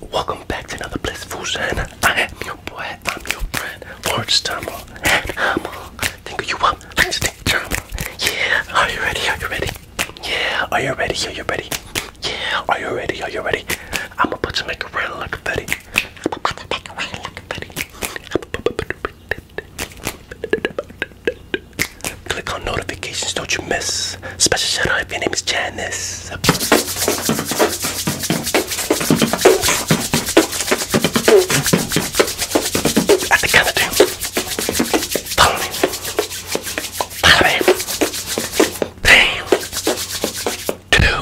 Welcome back to another Blissful Shine. I am your boy, I'm your friend, Orange Tumble, and I'm all think you up, let's think drama. Yeah, are you ready? Are you ready? Yeah, are you ready? Are you ready? Yeah, are you ready? Are you ready? I'm gonna put some macaroni like Betty. I'm Click on notifications, don't you miss. Special shout out if your name is Janice. At the count of two, follow me. Follow me. Three, two,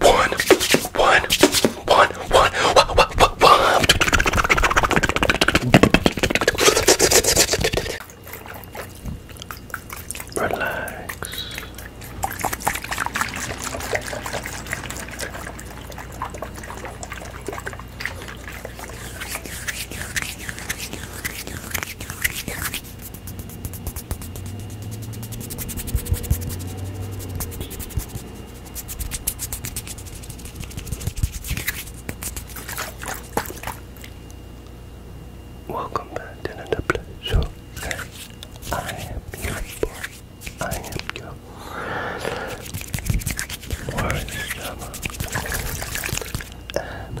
one, one, one, one, one, one, one, one. Relax. Welcome back to another show. I am your boy. I am your worst drama. And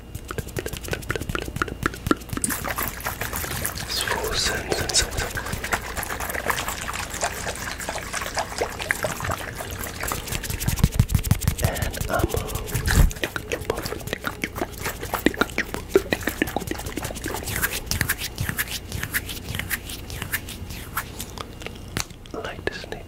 It's frozen. And I'm a... like this Nick.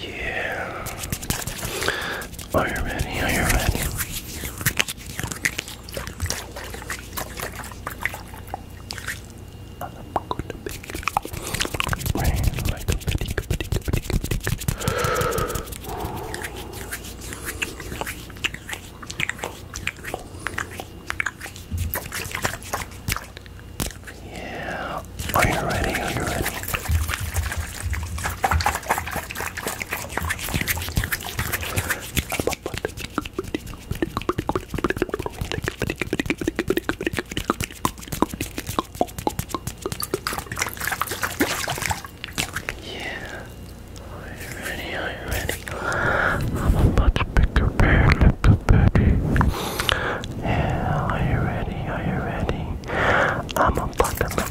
Yeah. Are you ready? Are you ready? I'm going to yeah. Are you ready? Are you ready? Yeah. Are you ready? Are you ready? I'm about to pick a pair, lick a berry. Yeah, are you ready? Are you ready? I'm a buttermilk.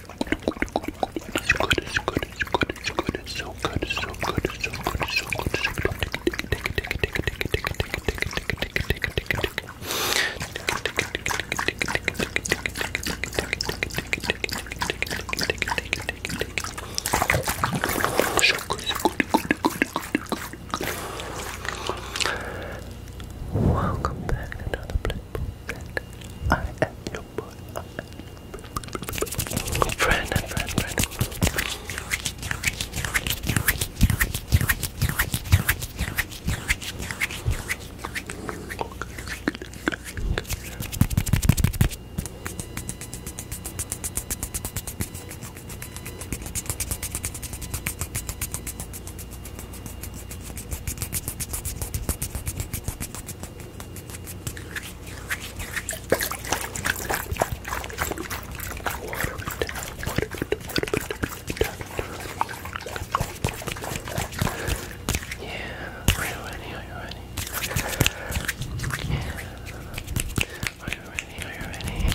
It's good, it's good, it's good, it's good, it's so good, it's so good, it's so good, it's so good, it's so good. Welcome back another I am your boy. your Friend and friend, friend. Are you ready? Are you ready? Yeah. Are you ready? Are you ready?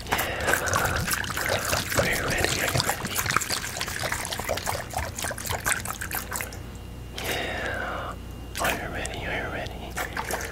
Are you ready? Are you ready? Yeah. Are you ready? Are you ready? Yeah.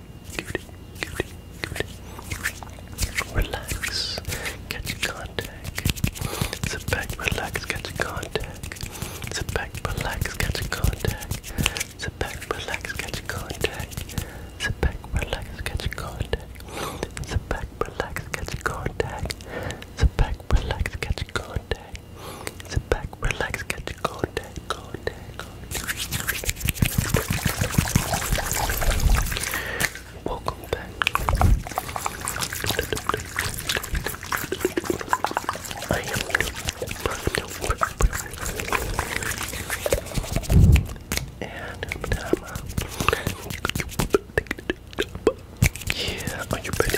good, good, good. Relax, get your contact. Sit back, relax, get your contact. Sit back, relax, get your contact. Sit back, relax, get your contact. Sit back, relax, get your contact. Sit back, relax, get your contact. Sit back, relax, get your contact. Contact, Welcome back. I am and yeah, are you ready?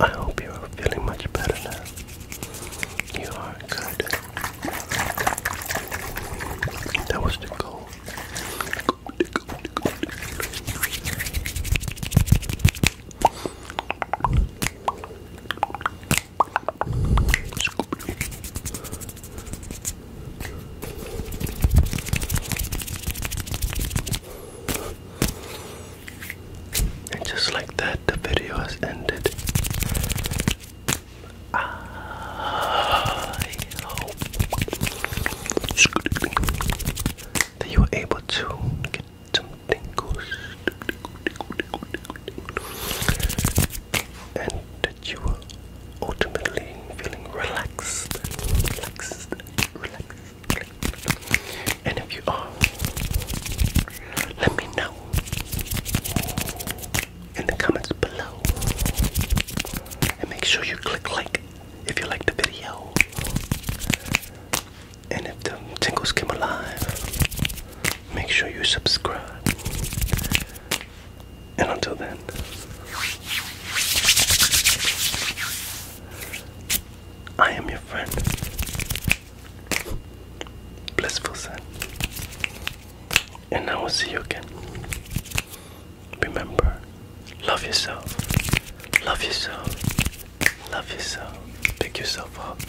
I hope you are feeling much better now. You are good. That was the goal. And just like that, the video has ended. I hope that you were able to get some tingles you are ultimately feeling relaxed, relaxed, relaxed, And if you are, let me know in the comments below. And make sure you click like if you like the video. And if the tingles came alive, make sure you subscribe. And until then, I am your friend, Blissful Son. And I will see you again. Remember, love yourself, love yourself, love yourself, pick yourself up.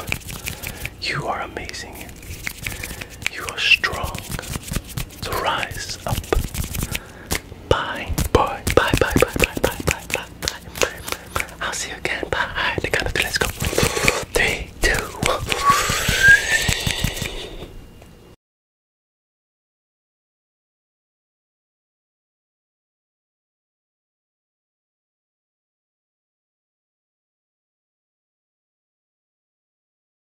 You are amazing, you are strong, to rise up. Bye. Bye. Bye. Bye. Bye. Bye. Bye. Bye. Bye. Bye. I'll see you again. Bye. let Let's go. Three, two, one.